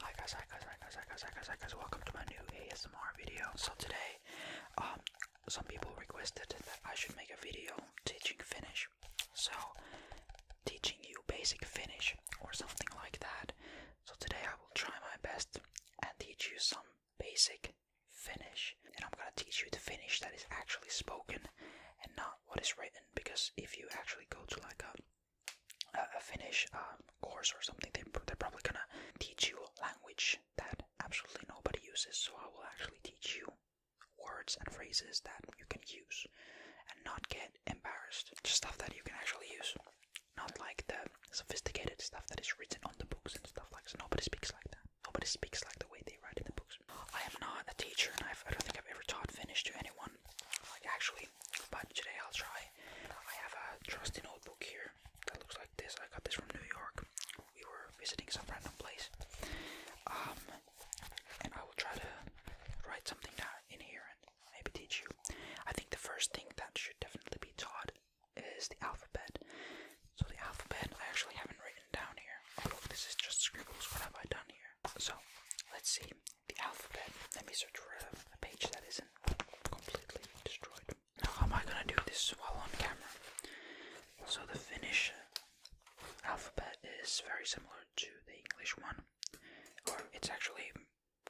Hi guys, hi guys, hi guys, hi guys, hi guys, hi guys, welcome to my new ASMR video. So today, um, some people requested that I should make a video teaching Finnish. So, teaching you basic Finnish or something like that. So today I will try my best and teach you some basic Finnish. And I'm gonna teach you the Finnish that is actually spoken and not what is written because if you actually go to like a a, Finnish um, course or something, they, are probably gonna teach you language that absolutely nobody uses. So I will actually teach you words and phrases that you can use and not get embarrassed. Just stuff that you can actually use, not like the sophisticated stuff that is written on the books and stuff like. So nobody speaks like that. Nobody speaks like the way they write in the books. I am not a teacher, and I've, i do not think I've ever taught Finnish to anyone actually, but today I'll try. I have a trusty notebook here that looks like this. I got this from New York. We were visiting some random place. Um, and I will try to write something down in here and maybe teach you. I think the first thing that should definitely be taught is the alphabet. So the alphabet I actually haven't written down here. Oh look, this is just scribbles. What have I done here? So let's see the alphabet. Let me search for a, page that isn't completely destroyed. Now, how am I gonna do this while on camera? So, the Finnish alphabet is very similar to the English one, or it's actually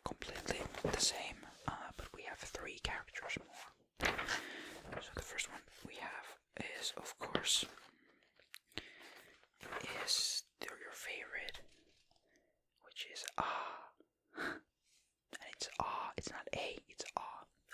completely the same, uh, but we have three characters more. So, the first one we have is, of course, is your favorite, which is ah and it's R, it's not A, it's R.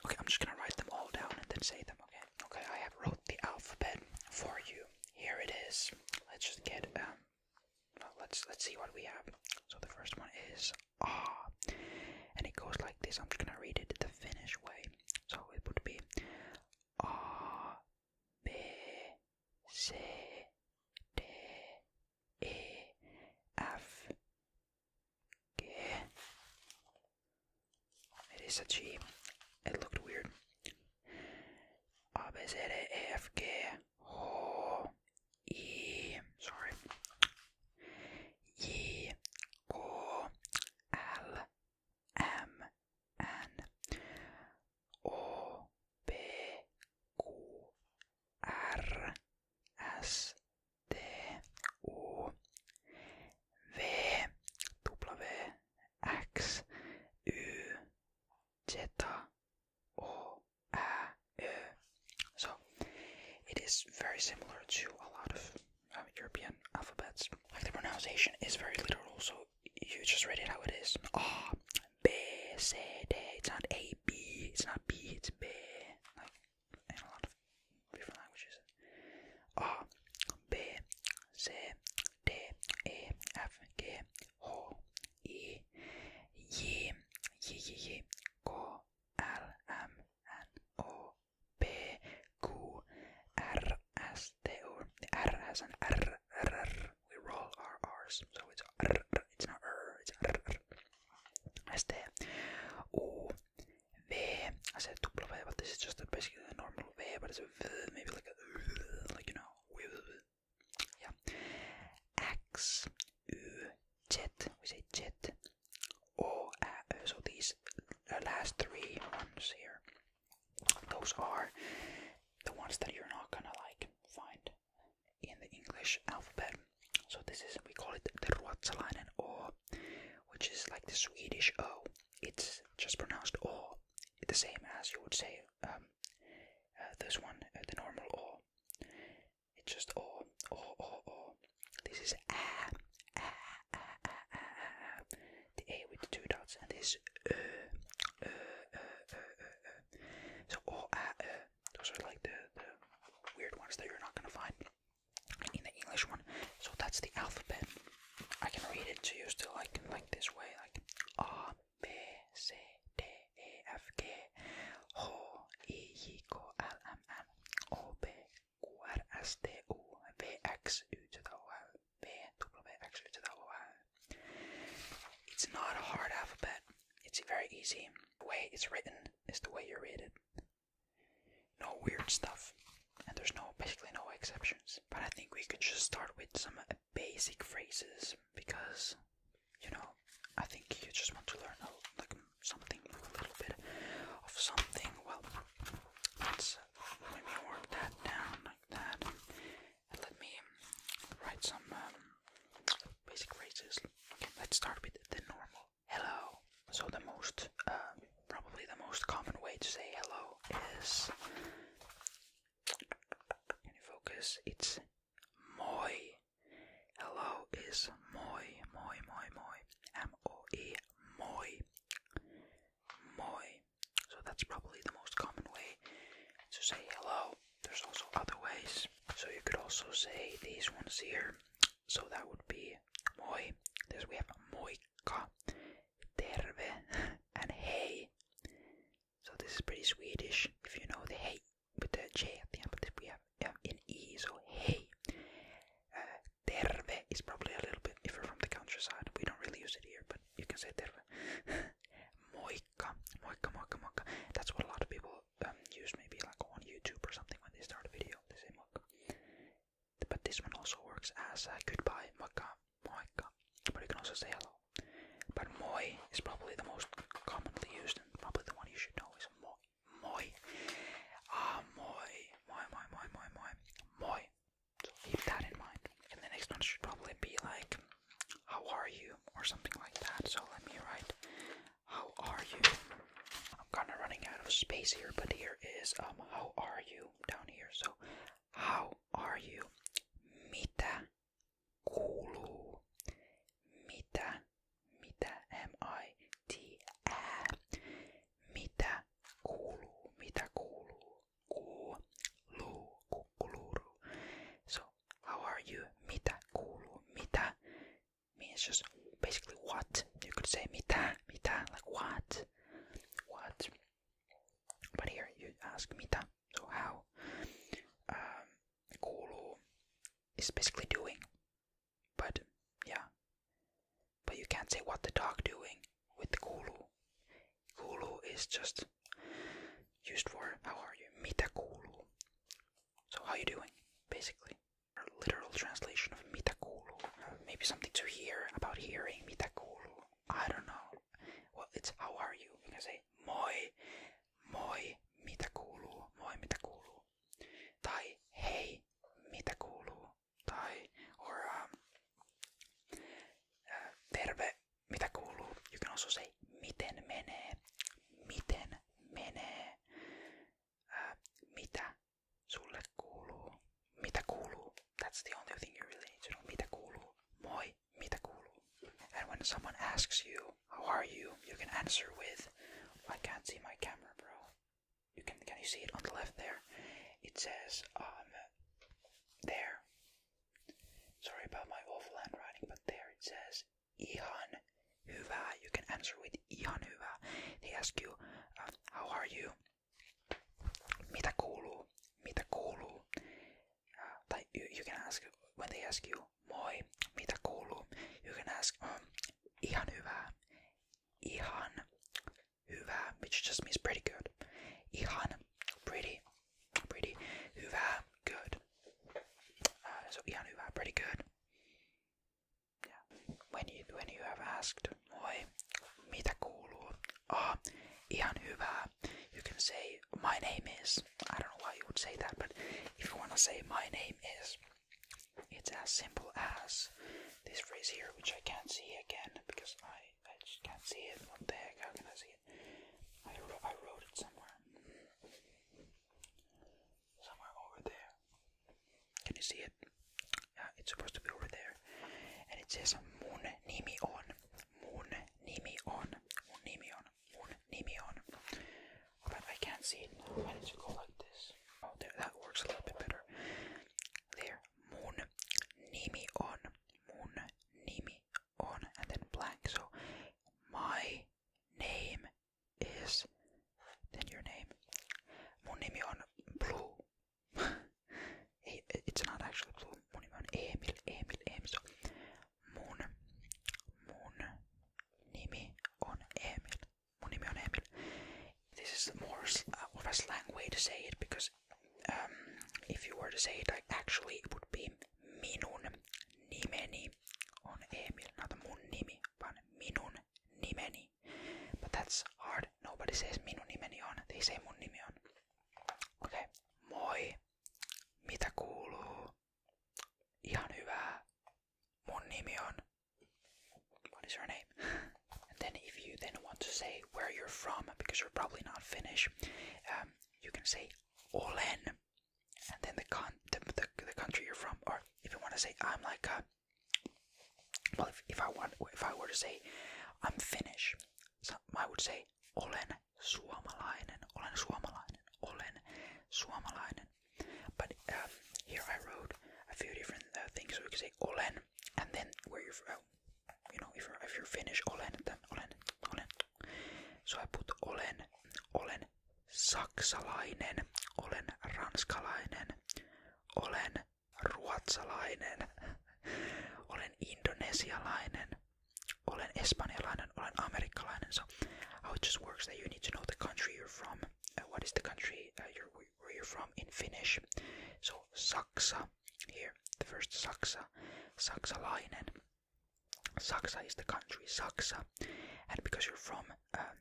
Okay, I'm just gonna write them all down and then say them, okay? Okay, I have wrote the alphabet for you. Here it is. Let's just get, um, let's, let's see what we have. So the first one is R, and it goes like this. I'm just gonna read it the Finnish way. So it would be A, B, C, D, a F G. It is a G. It looked weird. A B Z A F G O E. Sorry. E O L M N O O R S D O V W X U Zeta O A E. So it is very similar to a lot of um, European alphabets. Like the pronunciation is very literal, so you just read it how it is. Ah, B, C, D. It's not A, B. It's not B. It's B. in a lot of different languages. R, B, C, D, E, F, G, H, E, Y, Y, Y, Y, K, L, M, N, O, P, Q, R, S, T, O, R, S, and R, R, R we roll our R's, so it's it's not R, it's este U V. I said double V, but this is just basically a normal V, but it's a V, maybe like a like you know, we, yeah. X U Z, we say Z. O uh, so these the last three ones here, those are the ones that you're not gonna like find in the English alphabet. So this is we call it the Ruotsalainen O, which is like the Swedish O. It's just pronounced O, the same as you would say um, uh, this one, uh, the normal O. It's just O, O, O, O. This is A, A, A, A, A, A, the A with the two dots, and this Ö, Ö, Ö, Ö, Ö, Ö. So O, A, Ö. Those are like the, the weird ones that you're not gonna find in the English one. So that's the alphabet. I can read it to you still like like this way, like A B C D E F G H I J K L M N O P Q R S T U V X U to the to the O. It's not a hard alphabet. It's very easy. The way it's written is the way you read it. No weird stuff, and there's no basically no exceptions. But I think we could just start with some basic phrases because, you know, I think you just want to learn a, like something, a little bit of something. Well, let's let me work that down like that, and let me write some um, basic phrases. Let's start with the normal hello. So the most, um, probably the most common way to say hello is. Can you focus? It's moi. Hello is moi, moi, moi, moi. M O E, moi, moi. So that's probably the most common way to say hello there's also other ways. So you could also say these ones here. So that would be moi. This we have moika, terve, and hey. So this is pretty Swedish if you know the hey with the J at the end, but we have yeah, an E, so hey. Uh, terve is probably a little bit, if you're from the countryside, we don't really use it here, but you can say terve. moika, moika, moika, moika. That's what a lot of people um, used maybe like on YouTube or something when they start a video, they say mug. But this one also works as uh, goodbye, maka, moika, but you can also say hello. But moi is probably the most commonly used and probably the one you should know is moi. Moi. Ah, moi. Moi, moi, moi, moi, moi. Moi. So keep that in mind. And the next one should probably be like, how are you? Or something like that. So let me write, how are you? I'm kind of running out of space here, but here is um how are you down here. So how are you? Mitä Mitä mitä M I T A Mitä kuuluu? Mitä kuuluu? Kuuluu So how are you? Mitä Mitä me is just basically what you could say mita, mita, like what, what. But here you ask mita, so how? Um, kulu is basically doing, but yeah. But you can't say what the dog doing with kulu. Kulu is just used for how are you? Mita kulu. So how are you doing, basically? A literal translation of mitakulu. Maybe something to hear about hearing mitakulu. I don't know. Well, it's how are you? You can say moi, moi mitakulu, moi mitakulu. Tai hey mitakulu. Tai or um uh, terve mitakulu. You can also say miten menee, miten menee. Uh, mitä sulle kuuluu? Mitä kuuluu? That's the only thing you really need to know. Mitä kuuluu? Moi, mitä kuuluu? And when someone asks you, how are you? You can answer with, I can't see my camera, bro. You can, can you see it on the left there? It says, um, there. Sorry about my awful handwriting, but there it says, ihan uva. You can answer with ihan uva. They ask you, um, how are you? Mitä kuuluu? Uh, you, can ask, when they ask you, moi, mitä You can ask, um, ihan uva. Ihan uva, which just means pretty good. Ihan, pretty, pretty, uva, good. Uh, so ihan hyvä, pretty good. When you, when you have asked, moi, mitä kuuluu? Ah, oh, ihan hyvää. You can say, my name is. I don't know why you would say that, but if you want to say, my name is, it's as simple as this phrase here, which I can't see again because I, I just can't see it. What the heck? How can I see it? I, I wrote it somewhere somewhere over there. Can you see it? Yeah, it's supposed to be over there. And it says Moon Nimi on. Moon Nimi on. Moon Nimi on. Moon Nimi on. But I can't see it Why did you go like this? Oh, there, that works a little bit better. There. Moon Nimi on. Moon Nimi on. And then blank. So, my name is then your name. Mun nimi on Blue. it's not actually Blue. Mun nimi on Emil, Emil, Emil. So mun, mun on Emil. Mun nimi on Emil. This is more uh, of a slang way to say it because um, if you were to say it, actually it would be minun nimeni on Emil, not mun nimi, vaan minun nimeni. But that's hard. Nobody says minun nimeni on. They say mun nimi on. Okei. Okay. Moi. Mitä kuuluu? Ihan hyvää. Mun nimi on. What is your name? and then if you then want to say where you're from, because you're probably not Finnish, um, you can say olen and then the con the, the, country you're from, or if you want to say I'm like uh, well, if, if I want, if I were to say I'm Finnish, so I would say olen suomalainen, olen suomalainen, olen suomalainen. But um, here I wrote a few different uh, things, so we can say olen, and then where you're from. Uh, you know, if you're, if you're Finnish, olen, then olen, olen. So I put olen, olen Olen saksalainen, olen ranskalainen, olen ruotsalainen, olen indonesialainen, Spanish. espanjalainen, olen amerikkalainen. So how it just works that you need to know the country you're from. Uh, what is the country uh, you're, where you're from in Finnish? So Saksa here, the first Saksa, Saksalainen. Saksa is the country, Saksa, and because you're from um,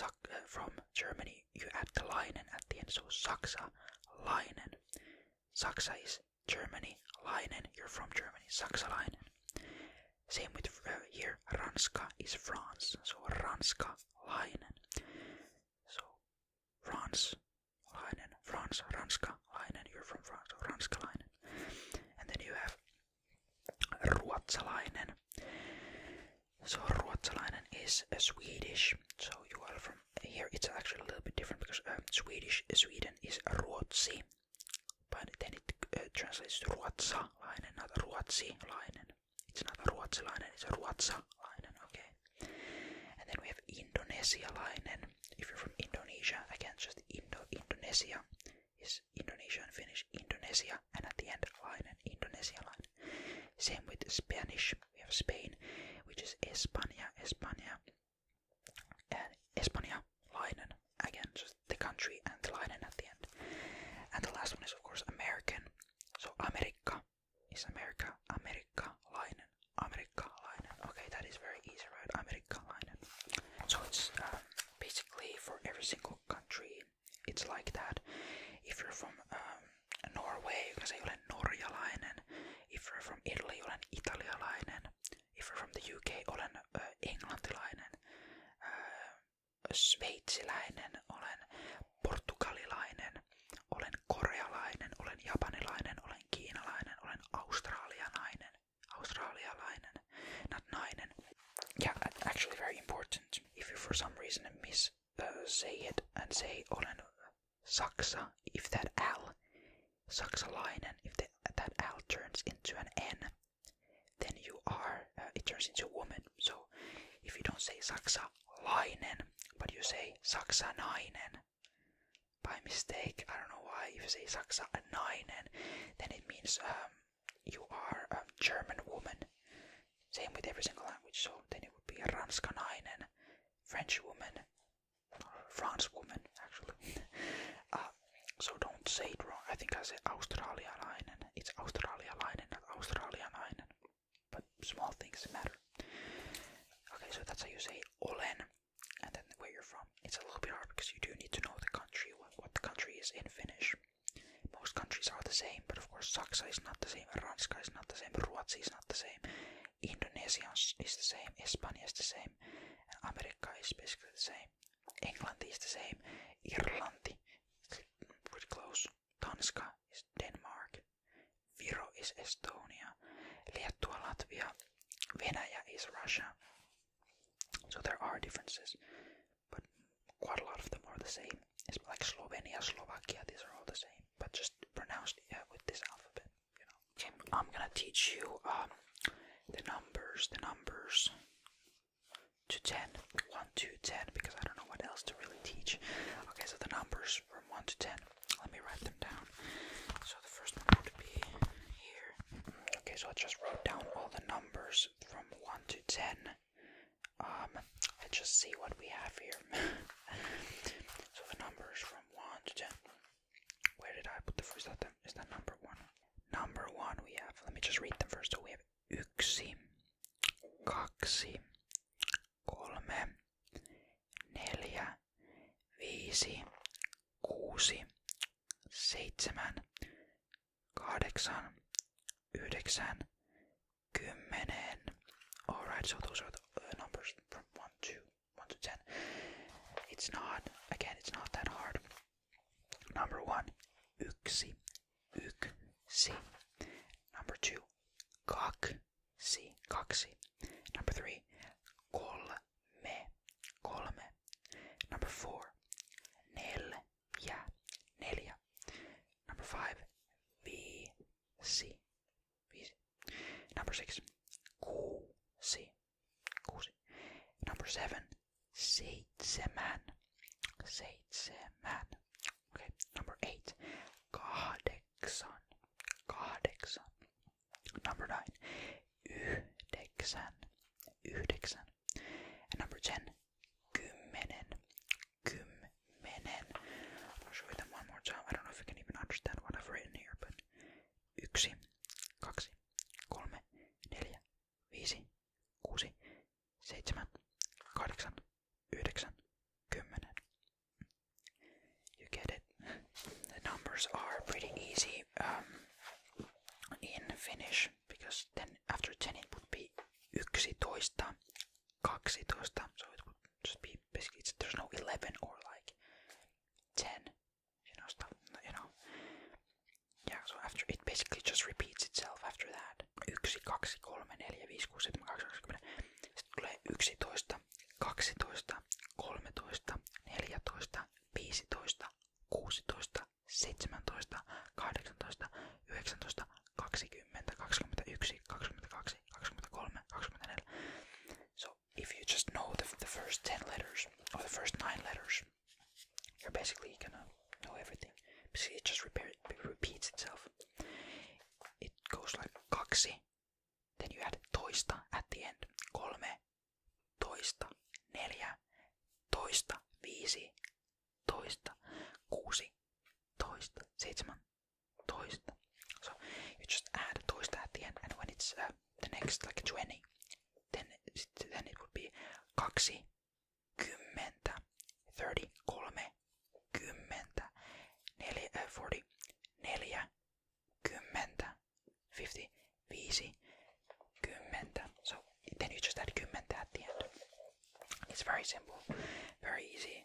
uh, from Germany, you add the Leinen at the end, so Saksa, Leinen. Saksa is Germany, Leinen, you're from Germany, Saksalainen. Same with uh, here, Ranska is France, so Ranska, Leinen. So France, Leinen, France, Ranska, Leinen, you're from France, so Ranska, Leinen. And then you have Ruotsalainen. So Ruotsalainen is Swedish. So you are from here. It's actually a little bit different because um, Swedish Sweden is Ruotsi, but then it uh, translates to Ruotsalainen, not Ruotsilainen. It's not Ruotsilainen. It's Ruotsalainen. Okay. And then we have Indonesia Indonesialainen. If you're from Indonesia, again, just Indo Indonesia is Indonesian, Finnish, Indonesia, and at the end line Indonesia line. Same with Spanish, we have Spain, which is Espania Espania, and España, line, again, just the country and the line at the end. And the last one is, of course, American. So America is America, America, line, America, line. Okay, that is very easy, right? America, line. So it's um, basically for every single country it's like that. If you're from um, Norway, you can say you're olen norjalainen. If you're from Italy, you're olen italialainen. If you're from the UK, olen uh, englantilainen. Uh, sveitsiläinen, olen portugalilainen, olen korealainen, olen japanilainen, olen kiinalainen, olen australianainen, australialainen, not nainen. Yeah, actually very important if you for some reason miss uh, say it and say on oh, a saksa, if that L, sucks a line, and if the, that L turns into an N, then you are, uh, it turns into a woman. So if you don't say saksalainen, but you say saksanainen, by mistake, I don't know why, if you say saksanainen, then it means um, you are a German woman. Same with every single language, so then it would be a Ranskanainen, French woman, France woman, actually. Uh, so don't say wrong. I think I say Australialainen. It's Australialainen, not Australianainen. But small things matter. Okay, so that's how you say olen, and then where you're from. It's a little bit hard because you do need to know the country, what the country is in Finnish. Most countries are the same, but of course Saksa is not the same, Ranska is not the same, Ruotsi is not the same, Indonesians is the same, Espanja is the same, and America is basically the same. England is the same, Irlandi pretty close, Tanska is Denmark, Viro is Estonia, Liettua Latvia, Venäjä is Russia. So there are differences but quite a lot of them are the same. It's like Slovenia, Slovakia, these are all the same, but just pronounced yeah, with this alphabet, you know. I'm gonna teach you um, the numbers, the numbers to 10, 1 to 10, because I don't know what else to really teach. Okay, so the numbers from 1 to 10, let me write them down. So the first would be here. Okay, so I just wrote down all the numbers from 1 to 10. Um, let's just see what we have here. so the numbers from 1 to 10. Where did I put the first letter? Is that number 1? Number 1 we have, let me just read them first. So we have yksi, kaksi, kolme, neljä, viisi, kuusi, seitsemän, kahdeksan, yhdeksän, kymmenen. Alright, so those are the uh, numbers from 1 to, 1 to 10. It's not, again, it's not that hard. Number 1, yksi, yksi. Number 2, kaksi, kaksi. Number 3, kolme, kolme. Number 4, nel yeah, Nelia. Number five, VC. VC. Number six, QC. QC. Number seven, seitsemän. Seitsemän. Okay, number eight, kahdeksan. Kahdeksan. Number nine, yhdeksän. Yhdeksän. And number ten, kymmenen. Kymmenen. I'll show you them one more time. I don't know if you can even understand what I've written here, but yksi, kaksi, kolme, neljä, viisi, kuusi, seitsemän, kahdeksan, yhdeksän, kymmenen. You get it? The numbers are pretty easy um, in Finnish because then after 10 it would be yksitoista 12, so it would just be basically, there's no 11 or like 10, you know, stuff, you know. Yeah, so after, it basically just repeats itself after that. 1, 2, 3, 4, 5, 6, 7, 8, 9, 10. Sitten tulee 11, 12, 13, 14, 15, 16, 17, 18, 19, 20, 21, 22, 23, 24. So if you just know the, the first 10 letters or the first 9 letters, you're basically gonna know everything. Basically it just repair, it repeats itself. It goes like kaksi, then you add toista at the end. Kolme, toista, neljä, toista, viisi, toista, kuusi, toista, seitsemän, toista. So you just add toista at the end and when it's uh, the next like 20, then, then it would be kaksi, kymmentä, 30, kolme, kymmentä, neljä, uh, 40, neljä, kymmentä, 50, viisi, kymmentä. So then you just add kymmentä at the end. It's very simple, very easy.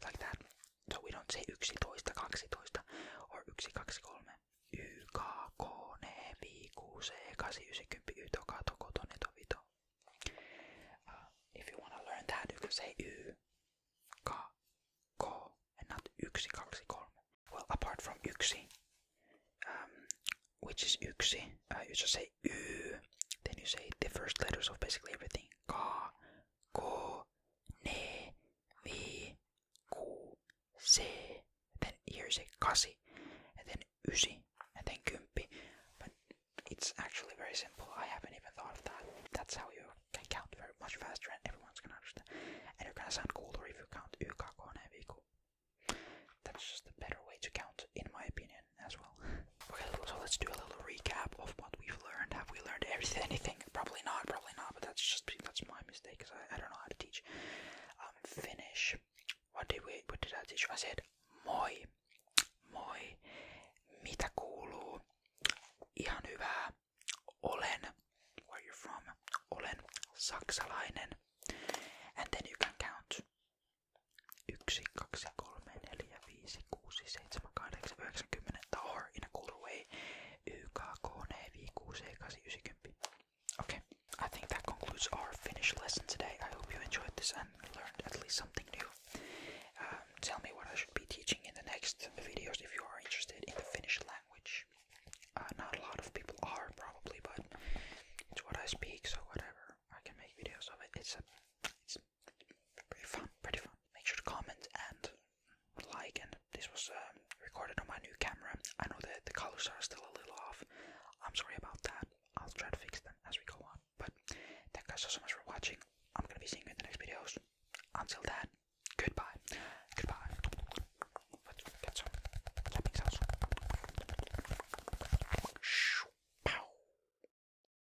Tää So we don't say 11, 12 or 1, 2, 3. Y, K, K, N, V, Q, C, 8, 9, 10, Y, Toka, uh, if you wanna learn that, you can say Y, and not 1, 2, 3. Well, apart from yksi, um, which is yksi, uh, you just say U. Uh, then you say the first letters of basically everything. Ka, ko, ne, mi, ku, se. Then here you say kasi, and then Uzi, and then kumpi. But it's actually very simple. I haven't even thought of that. That's how you can count very much faster, and everyone's gonna understand. And you're gonna sound cooler if you count u, ka, ko, ne, That's just a better way to count, in my opinion as well. Okay, so let's do a little recap of what we've learned. Have we learned everything? Anything? Probably not. Probably not. But that's just that's my mistake because I, I don't know how to teach. Um, finish. What did we? What did I teach? I said moi, moi, mitä kuuluu, ihan hyvää, olen, where you're from, olen saksalainen, and then you can count 1, Okay, I think that concludes our Finnish lesson today. I hope you enjoyed this and learned at least something new. Um, tell me what I should be teaching in the next videos if you are interested in the Finnish language. Uh, not a lot of people are probably, but it's what I speak, so whatever. I can make videos of it. It's a, it's pretty fun, pretty fun make sure to comment and like. And this was um, recorded on my new camera. I know that the colors are still a little off. I'm sorry about that. I'll try to fix them as we go on. But thank you guys so, so much for watching. I'm gonna be seeing you in the next videos. Until then, goodbye. Goodbye.